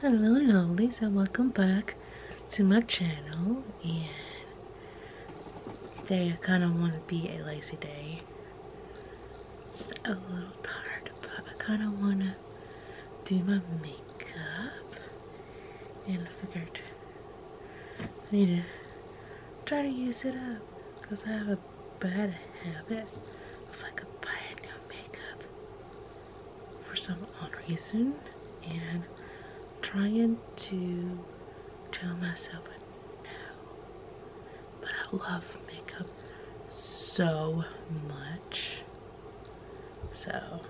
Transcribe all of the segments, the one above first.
Hello lovelies and welcome back to my channel and today I kind of want to be a lazy day. It's a little tired but I kind of want to do my makeup and I figured I need to try to use it up because I have a bad habit of like a buying new makeup for some odd reason and trying to tell myself But I love makeup so much. So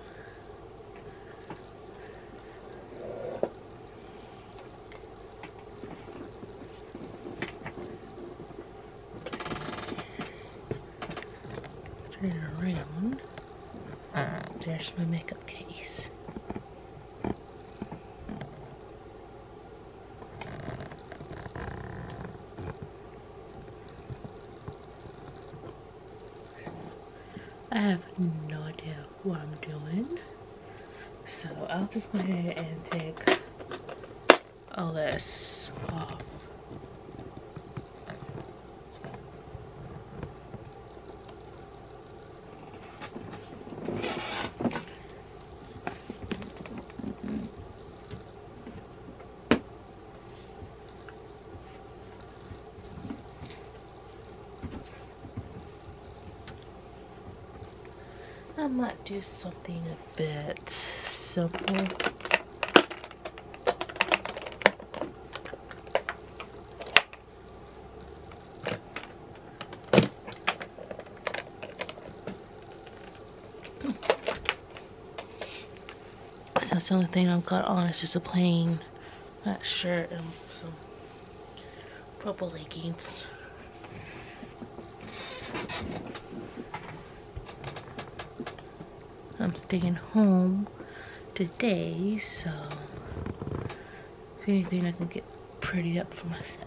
Turn it around. There's my makeup case. I have no idea what I'm doing. So I'll just go ahead and take all oh, this I might do something a bit simple that's the only thing I've got on. It's just a plain black shirt and some purple leggings. I'm staying home today, so if anything, I can get pretty up for myself.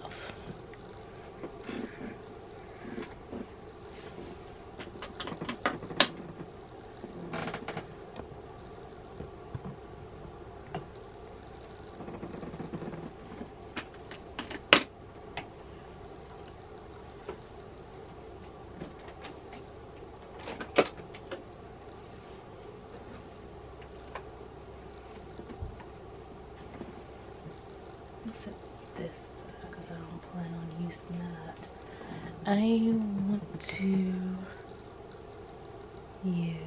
Oops, this because uh, I don't plan on using that. I want to use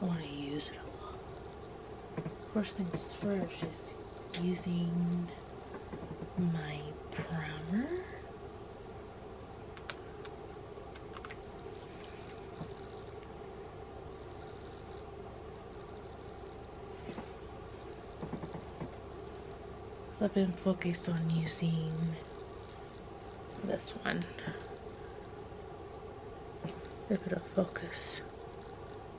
I want to use it a lot. First things first is using my primer. So I've been focused on using this one. A bit of focus.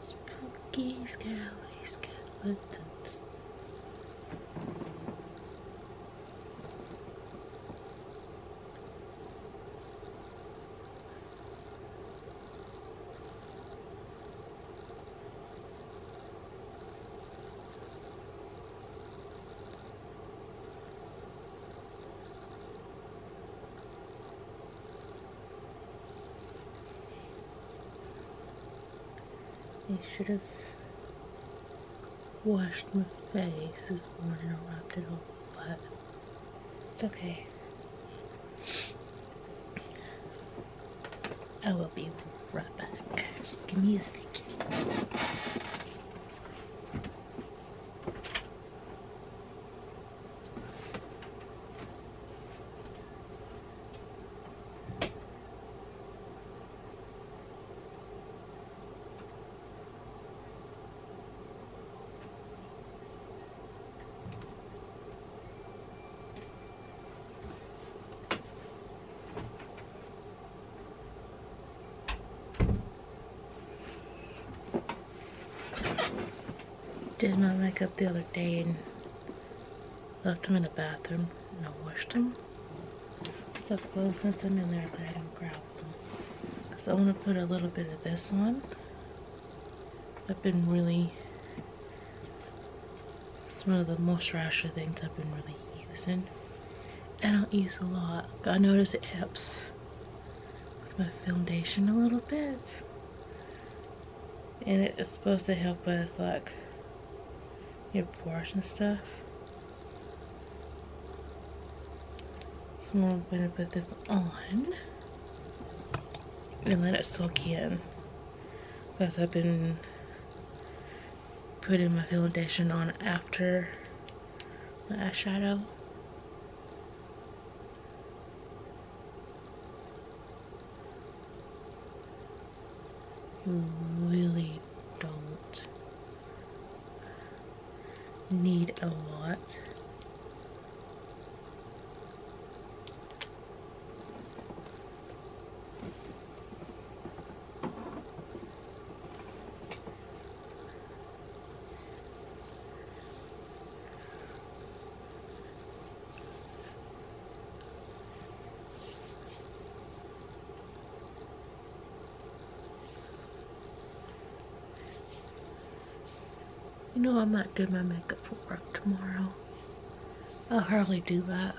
Spooky, scary skeletons. I should have washed my face this morning and rubbed it off, but it's okay. I will be right back. Just give me a second did wake up the other day and Left them in the bathroom and I washed them. So clothes since I'm in there, but I ahead and grab them. Because I want to put a little bit of this on. I've been really, it's one of the most moisturizer things I've been really using. I don't use a lot. but I noticed it helps with my foundation a little bit and it is supposed to help with like your pores and stuff so I'm going to put this on and let it soak in because I've been putting my foundation on after my eyeshadow you really don't need a lot. You know I might do my makeup for work tomorrow. I hardly do that.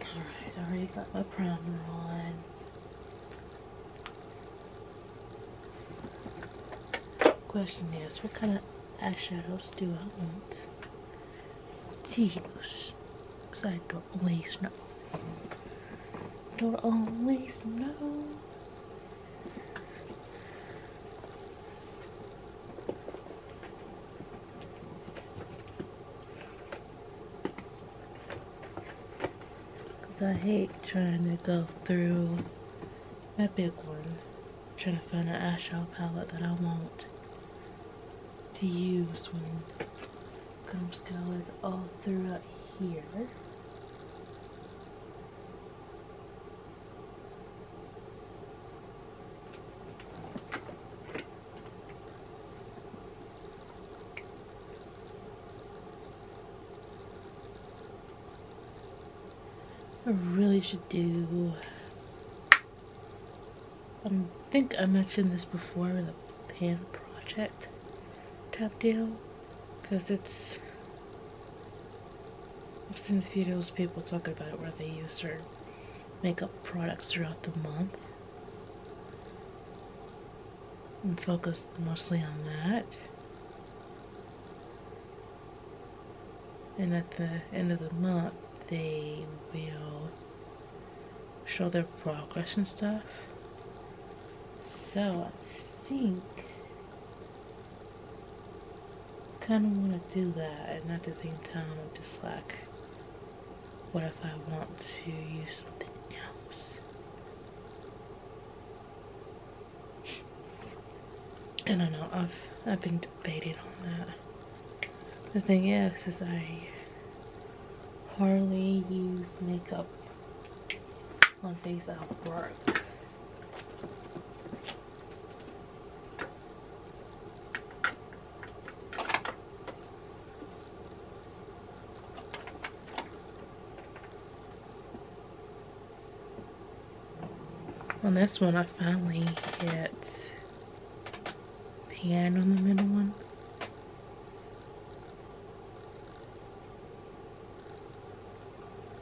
Alright, already got my primer on. Question is, what kind of eyeshadows do I want to use? Because I don't always know. Don't always know. Because I hate trying to go through my big one, trying to find an eyeshadow palette that I want to use when I'm colored all throughout here. I really should do I um, think I mentioned this before in the pan project tap deal because it's I've seen a few of those people talking about it where they use their makeup products throughout the month and focus mostly on that. And at the end of the month, they will show their progress and stuff. So I think kind of want to do that and not the same time i just like what if I want to use something else I don't know I've I've been debating on that the thing is is I hardly use makeup on days I work on this one, I finally hit pan on the middle one.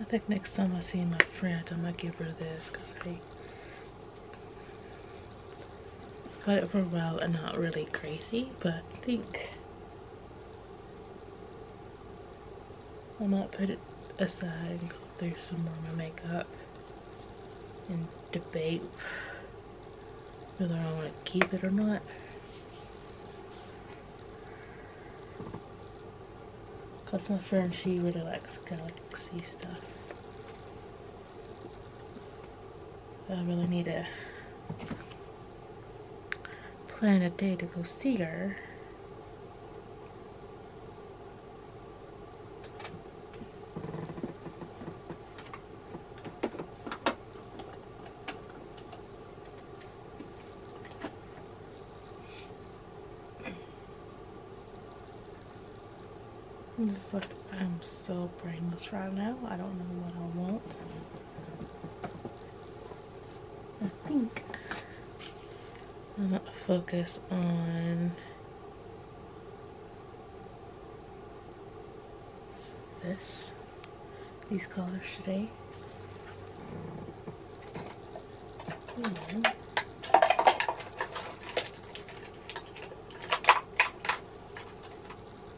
I think next time I see my friend, I'm going to give her this because I Got it for while, and not really crazy, but I think I might put it aside and go through some more of my makeup and debate whether I want to keep it or not. Cause my friend, she really likes galaxy stuff. I really need to plan a day to go see her. I'm just like, I'm so brainless right now. I don't know what I want. I think I'm gonna focus on this, these colors today.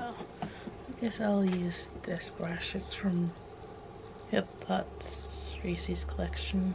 I guess I'll use this brush. It's from Hip Pots Reese's collection.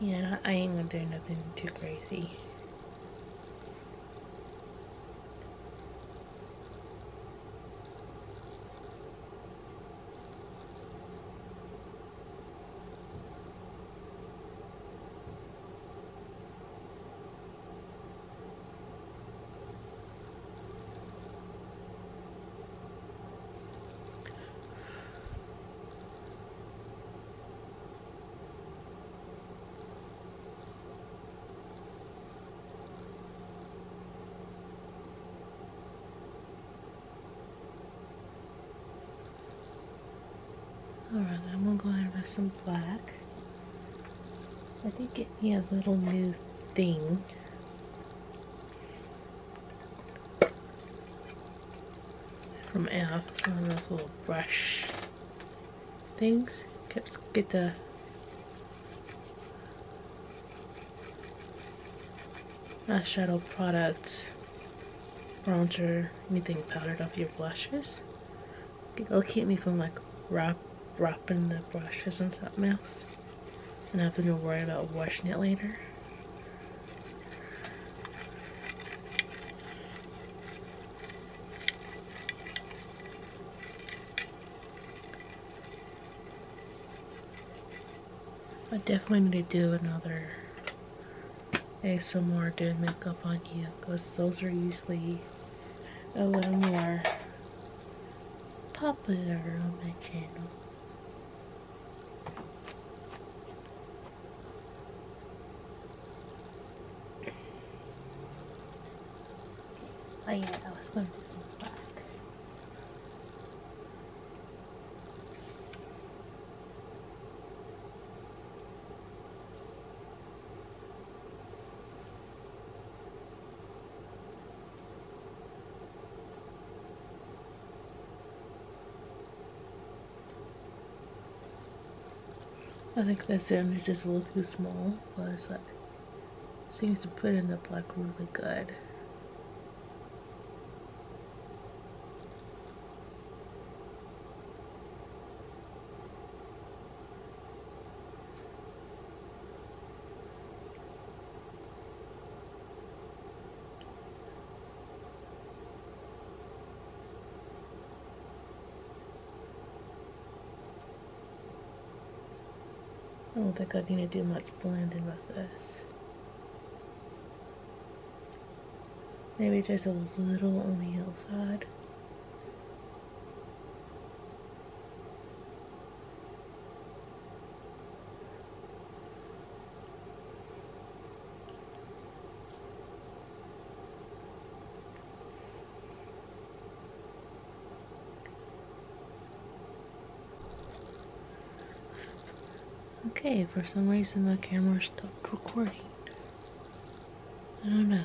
Yeah, I ain't gonna do nothing too crazy. Alright, I'm gonna go ahead and buy some black. I did get me a little new thing. From air, one of those little brush things. Kept get the eyeshadow product, bronzer, anything powdered off your brushes. It'll keep me from like wrap, wrapping the brushes into my mouth, and I have to worry about washing it later. I definitely need to do another ASMR doing makeup on you because those are usually a little more popular on my channel. Oh yeah, I was going to do some back. I think that sandwich is just a little too small, but it seems to put in the like really good. I don't think I need to do much blending with this. Maybe just a little on the hillside. Okay, for some reason my camera stopped recording. I don't know.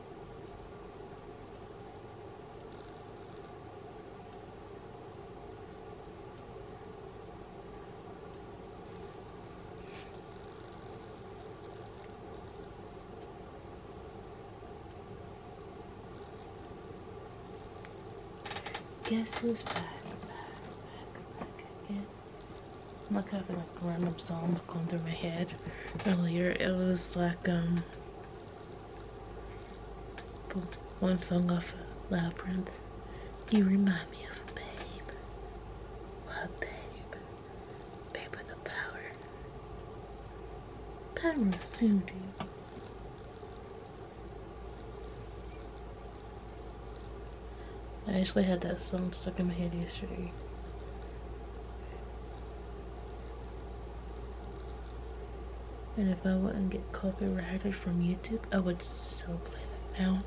Guess who's back, back, back, back I'm like having like random songs going through my head earlier. It was like um one song off of Labyrinth. You remind me of Babe. Love Babe. Babe with the power. Power of soothing. I actually had that song stuck in my head yesterday. And if I wouldn't get copyrighted from YouTube, I would so play that now.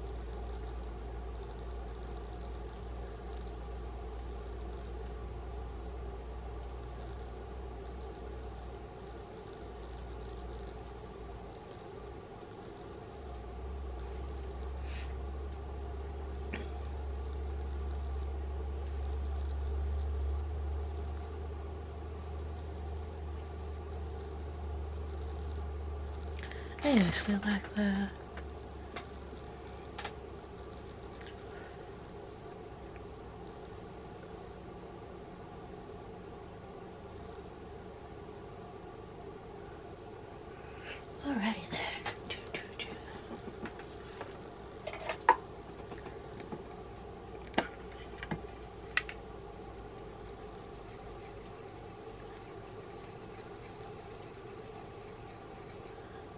I actually like that. Alrighty there.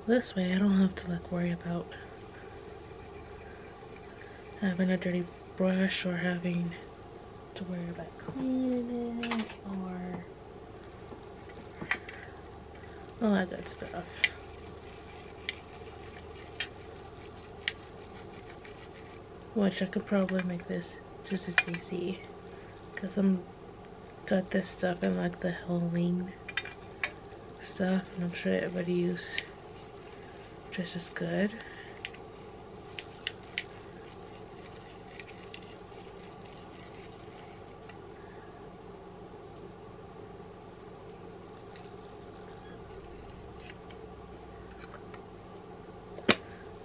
This way I don't have to like worry about having a dirty brush or having to worry about cleaning it all that good stuff. Which I could probably make this just as CC. Because I'm got this stuff in like the Halloween stuff. And I'm sure everybody use just as good.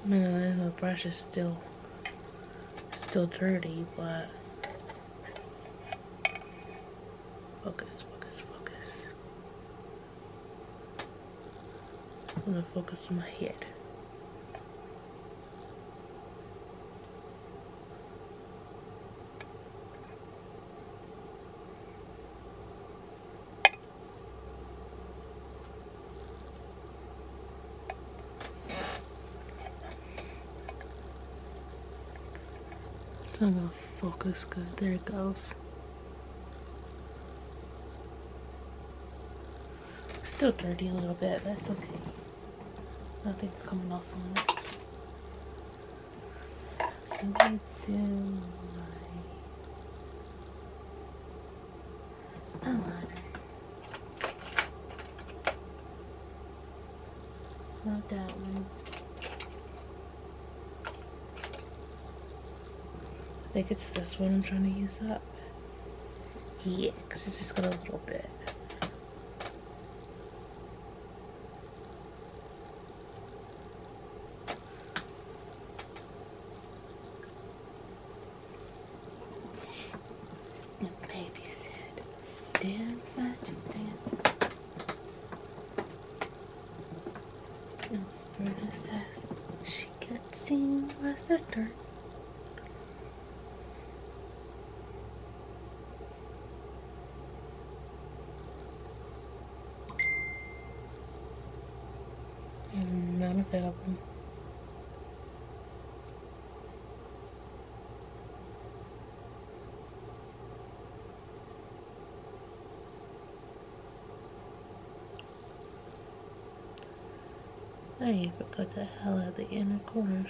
I mean, the brush is still, still dirty, but focus, focus, focus. I'm gonna focus on my head. It's not focus good. There it goes. Still dirty a little bit, That's okay. Nothing's coming off on it. I'm going to do I think it's this one I'm trying to use up. Yeah, because it's just got a little bit. The baby dance, magic, dance. And Sabrina says she can't sing without her. I'm not available. I even put the hell out the inner corners.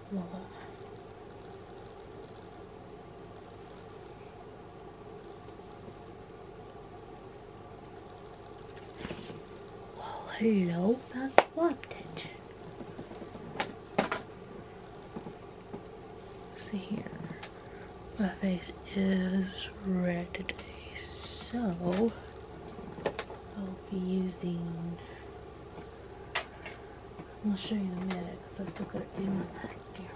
Oh, hello, that's what tension. See here. My face is red today, so I'll be using I'll show you in a minute because I still got to do my mascara.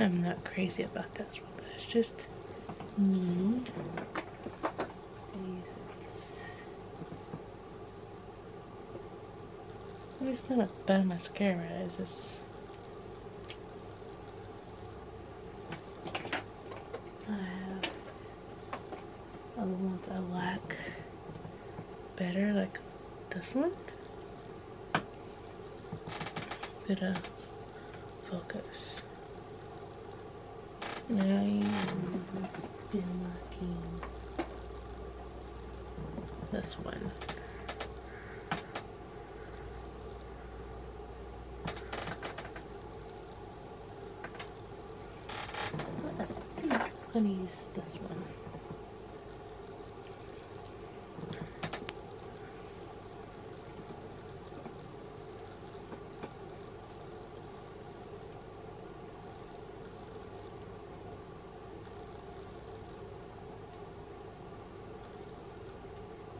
I'm not crazy about this one, but it's just me. It's not a bad mascara, it's just I have other ones I like better, like this one. Bit of focus. And I've been liking this one. I'm going to use this one.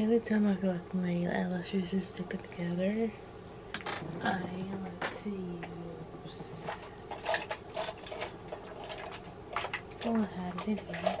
every time I feel like my eyelashes are sticking together, I like to use. Oh, I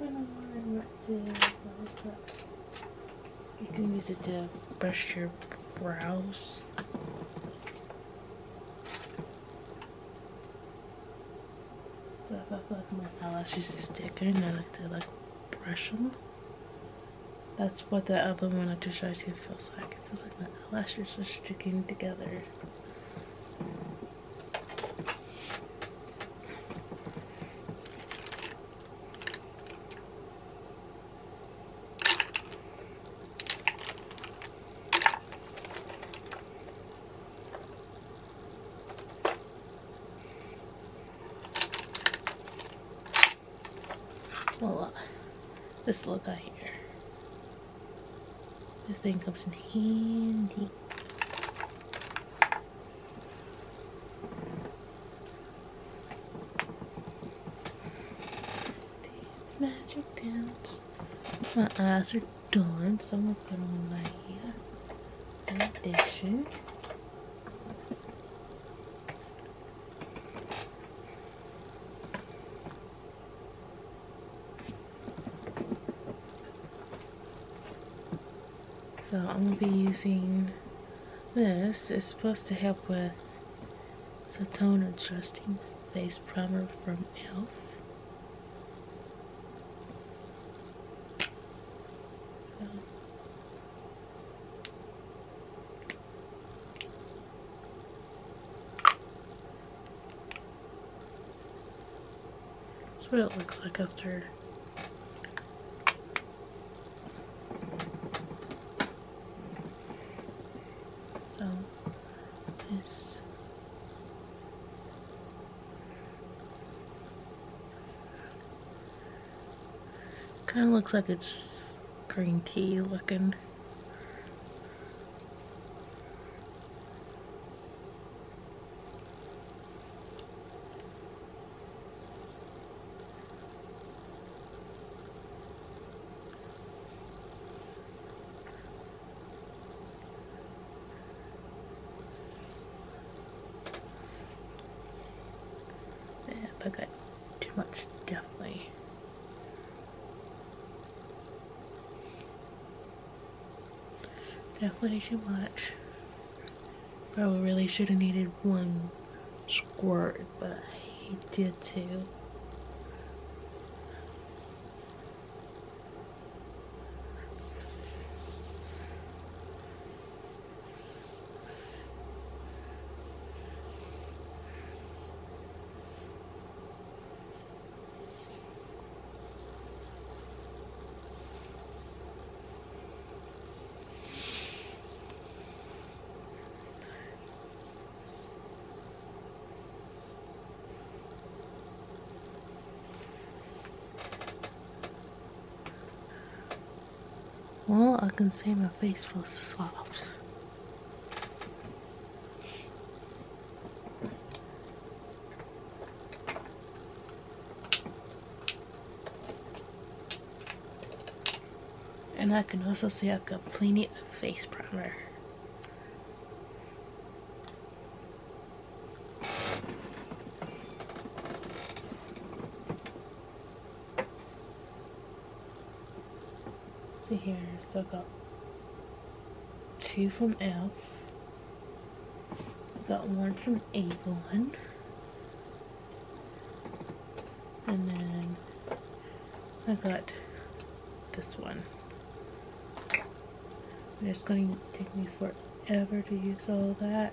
You can use it to brush your brows. my eyelashes is sticking, I like to like brush them. That's what the other one I just showed you feels like. It feels like my lashes are sticking together. Well, uh, this look out here. This thing comes in handy. magic dance. My eyes are done, so I'm gonna put on my hair. Condition. So I'm going to be using this. It's supposed to help with the tone adjusting face primer from e.l.f. That's what it looks like after. So, um, this. Kind of looks like it's green tea looking. I got too much definitely. Definitely too much. Probably really should have needed one squirt, but he did too. Well, I can see my face full of swabs. And I can also see I've got plenty of face primer. See here, so I have got two from e.l.f. Got one from Avon. And then I got this one. it's going to take me forever to use all that.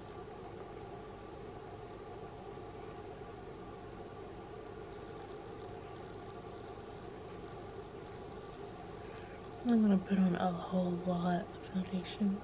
I'm gonna put on a whole lot of foundation.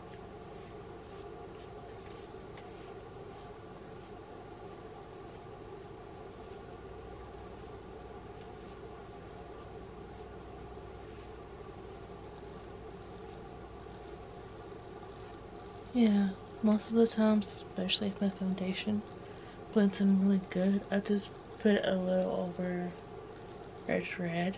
Yeah, most of the times, especially if my foundation, blends in really good. I just put a little over fresh red.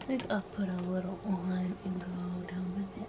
I think I'll put a little on and go down my neck.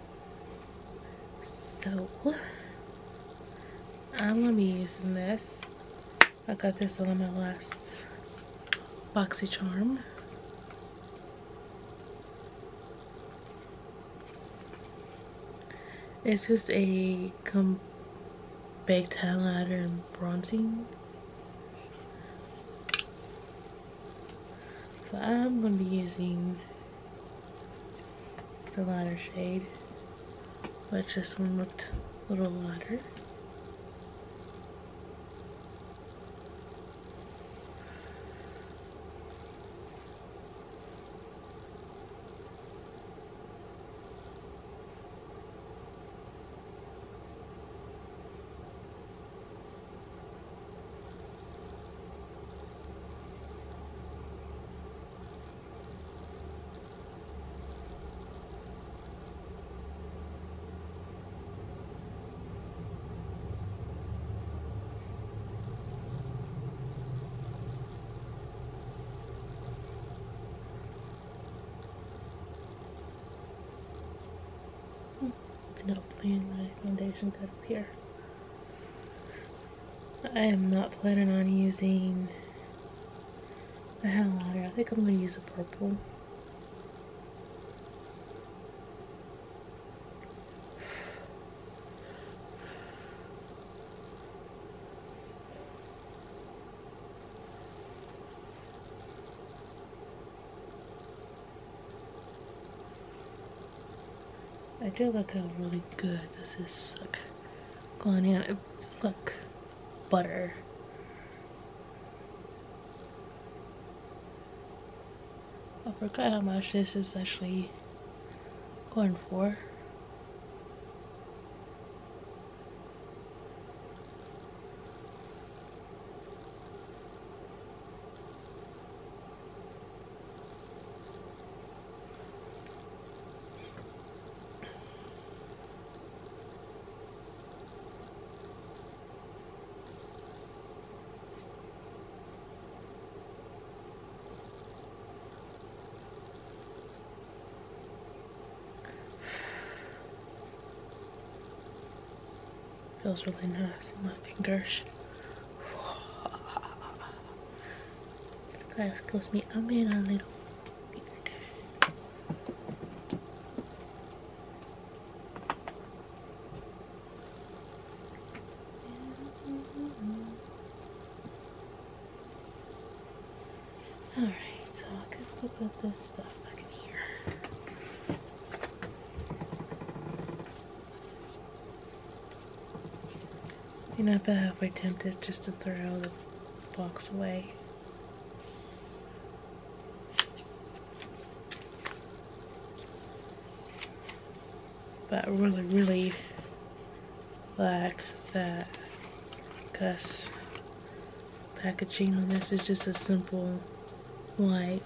So I'm gonna be using this. I got this on my last boxy charm. It's just a baked highlighter and bronzing. So I'm gonna be using the lighter shade, but this one looked a little lighter. I am not playing my foundation cut up here. I am not planning on using the hell louder. I think I'm going to use a purple. I do like really good this is. Okay going in. Look, butter. I forgot how much this is actually going for. Feels really nice in my fingers. Guys, excuse me, I'm being a little Alright, so I put this stuff back in here you know, i but halfway tempted just to throw the box away. But I really, really like that because packaging on this is just a simple white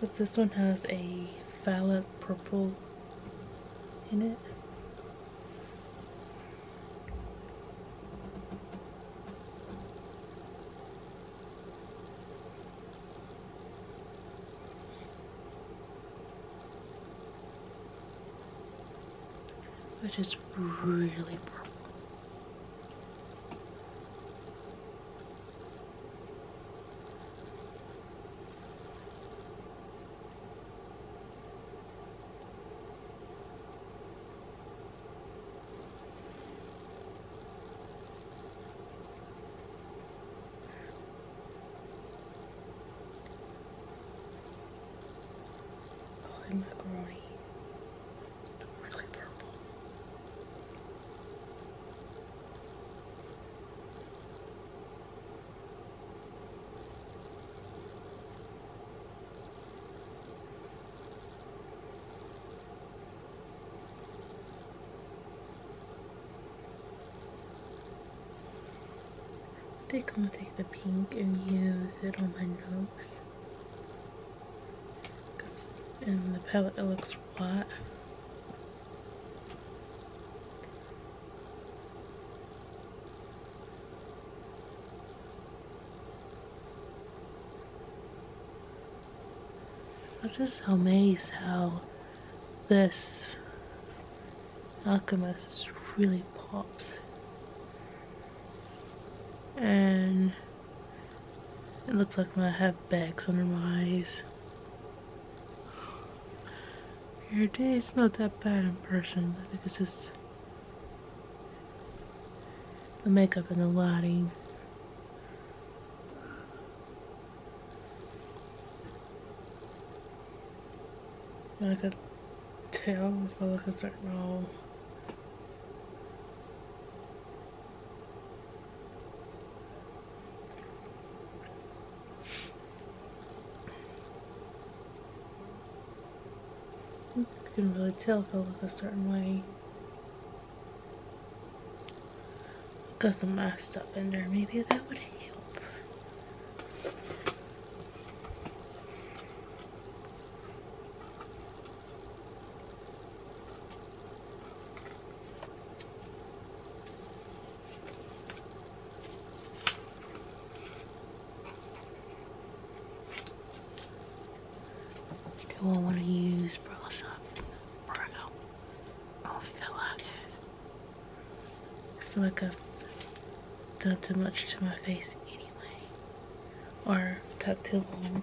but this one has a phallic purple in it. which is really purple. Oh, and macaroni really purple. I think I'm gonna take the pink and use it on my nose. Cause in um, the palette it looks what? I'm just amazed how this alchemist really pops. And it looks like I have bags under my eyes. Your day it's not that bad in person. it's just the makeup and the lighting. I could tell if I look a certain all you can really tell if I look a certain way. Got some eye stuff in there. Maybe that would help. Do I want to use brush up brow I feel like I feel like I've done too much to my face anyway. Or tucked too long.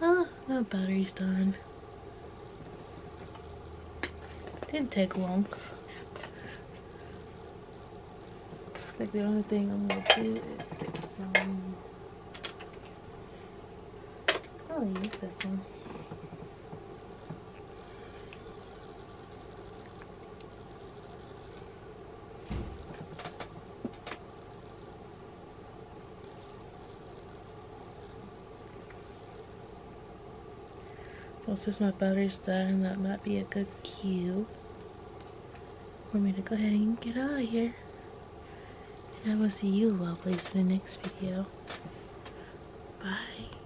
Ah, my battery's done. Didn't take long. Like the only thing I'm gonna do is get I'll use this one. Well, since my battery's dying, that might be a good cue for me to go ahead and get out of here. And I will see you lovelies in the next video. Bye.